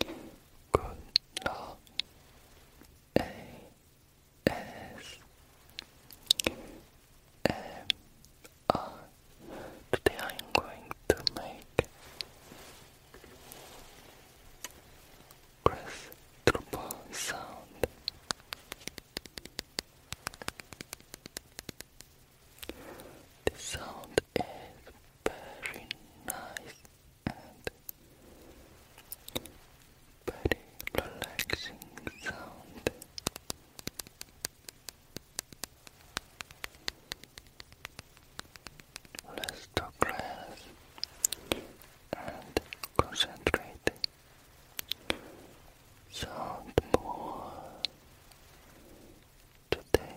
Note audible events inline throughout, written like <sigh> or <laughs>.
Good Love A S M R. Today I'm going to make grass sound. The sound is very nice and very relaxing sound. Let's talk and concentrate. Sound more today.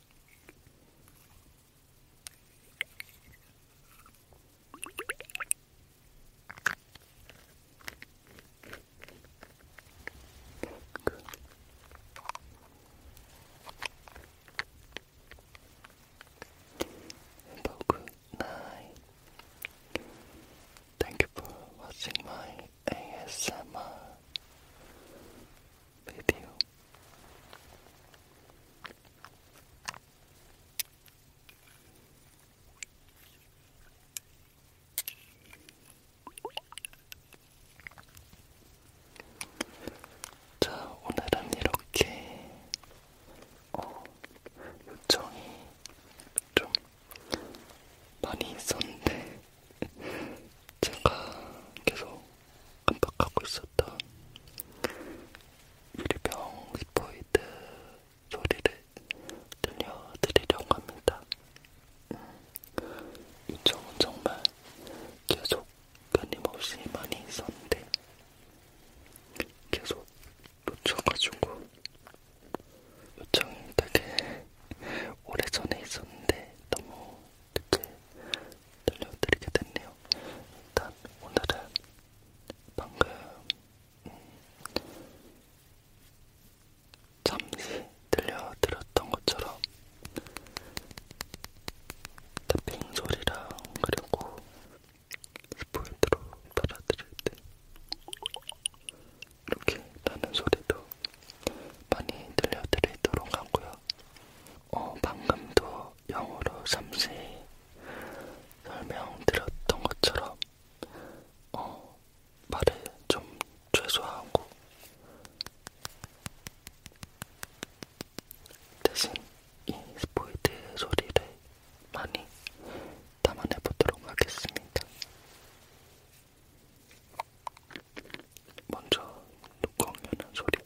Good. Thank you for watching my ASMR video. 자, 오늘은 이렇게 어, 요청이 좀 많이 있었는데 <laughs> 제가 계속 깜빡하고 있었던 일병 스포이드 소리를 들려드리려고 합니다. 음, 요청은 정말 계속 끊임없이 많이 있었는데 계속 놓쳐가지고 요청이 되게 오래전에 있었는데 너무 이제 들려드리게 됐네요. 일단 오늘은 방금 음, 잠시 들려드렸던 것처럼 탭핑 소리랑 그리고 스포일드로 따라드릴 때 이렇게 나는 소리도 많이 들려드리도록 하고요. 어, 방금도 영어로 잠시 설명드렸던 것처럼 어, 말을 좀 최소화하고 대신 이 스포이드 소리를 많이 담아내 보도록 하겠습니다. 먼저 뚜껑 여는 소리.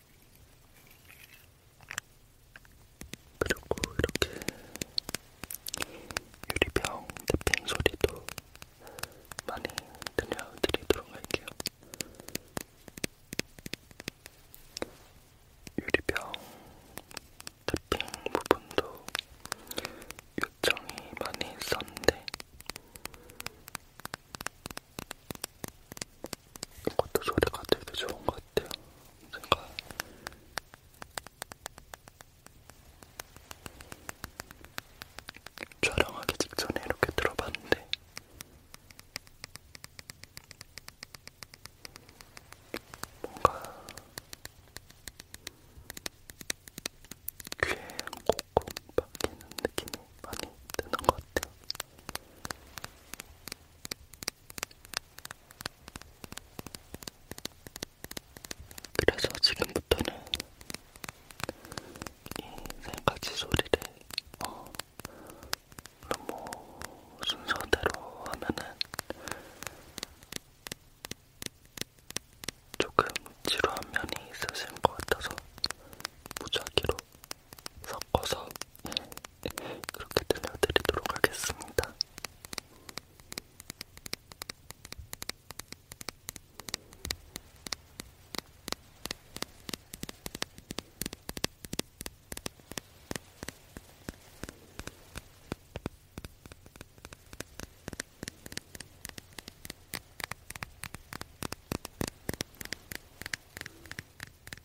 그리고 이렇게 유리병 탭핑 소리도 많이 들려드리도록 할게요. 유리병 탭핑 부분도 요청이 많이 있었는데 이것도 소리가 되게 좋은 것 같아요. 제가 촬영하기 직전에 이렇게 들어봤는데 뭔가 귀에 콕콕 박히는 느낌이 많이 드는 것 같아요. 그래서 지금부터는 이세 가지 소리를 어, 너무 뭐 순서대로 하면은 조금 지루한 면이 있으신 것 같아서 무작위로 섞어서 그렇게 들려드리도록 하겠습니다.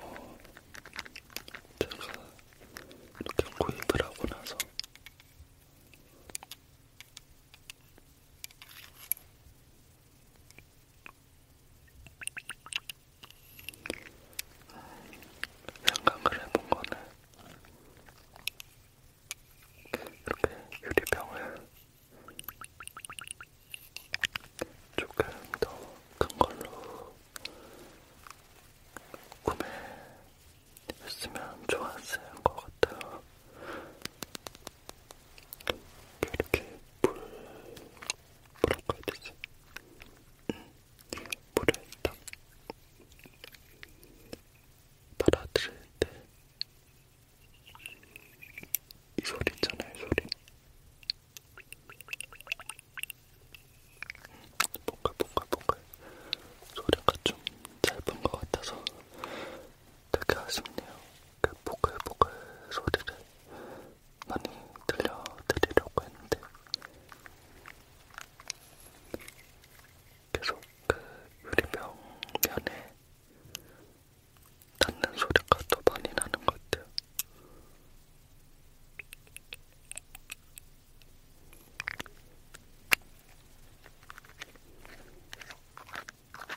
어, 제가 이렇게 구입을 하고 나서 생각을 해본 거는 이렇게 유리병을 조금 더 큰 걸로 구매했으면 좋았을 것 같아요. 이렇게 물, 뭐라고 해야 되지? 음, 물을 딱 빨아들일 때이 소리 있잖아요, 이 소리. 뭔가 뭔가 뭔가 소리가 좀 짧은 것 같아서 되게 아쉽네요. 그 보글보글 소리를 많이 들려드리려고 했는데 계속 그 유리병 면에 닿는 소리가 더 많이 나는 것 같아요.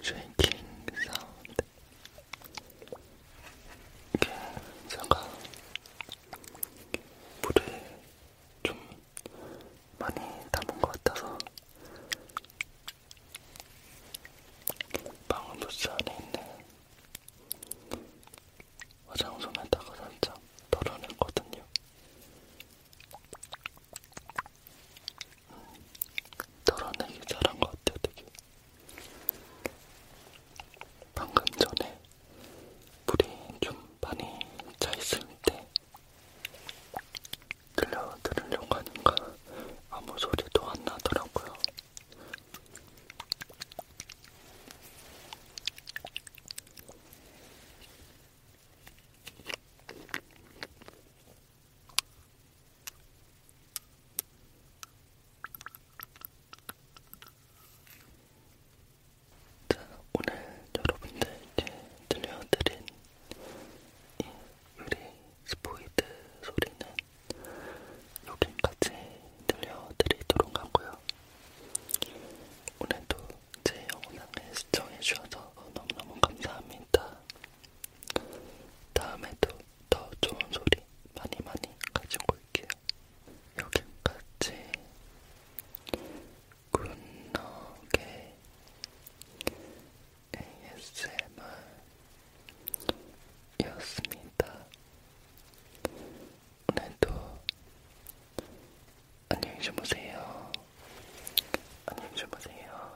쉐이킹 사운드 이게 제가 물에 좀 많이 담은 것 같아서 방음부스 안에 있는 화장솜에다가 살짝 덜어냈거든요. 덜어내기 잘한 것 같아요, 되게. 방금 전에 물이 좀 많이 차있을 때 들려드리려고 하니까 아무 소리도 안 나더라고요. 자, 오늘 여러분들께 들려드린 이 유리 스포이드 소리는 여기까지 들려드리도록 하고요. 오늘도 제 영상을 시청해주셔서 너무너무 감사합니다. 다음에도 더 좋은 소리 많이 많이 가지고 올게요. 여기까지 굿너게 ASMR이었습니다. 오늘도 안녕히 주무세요. 안녕히 주무세요.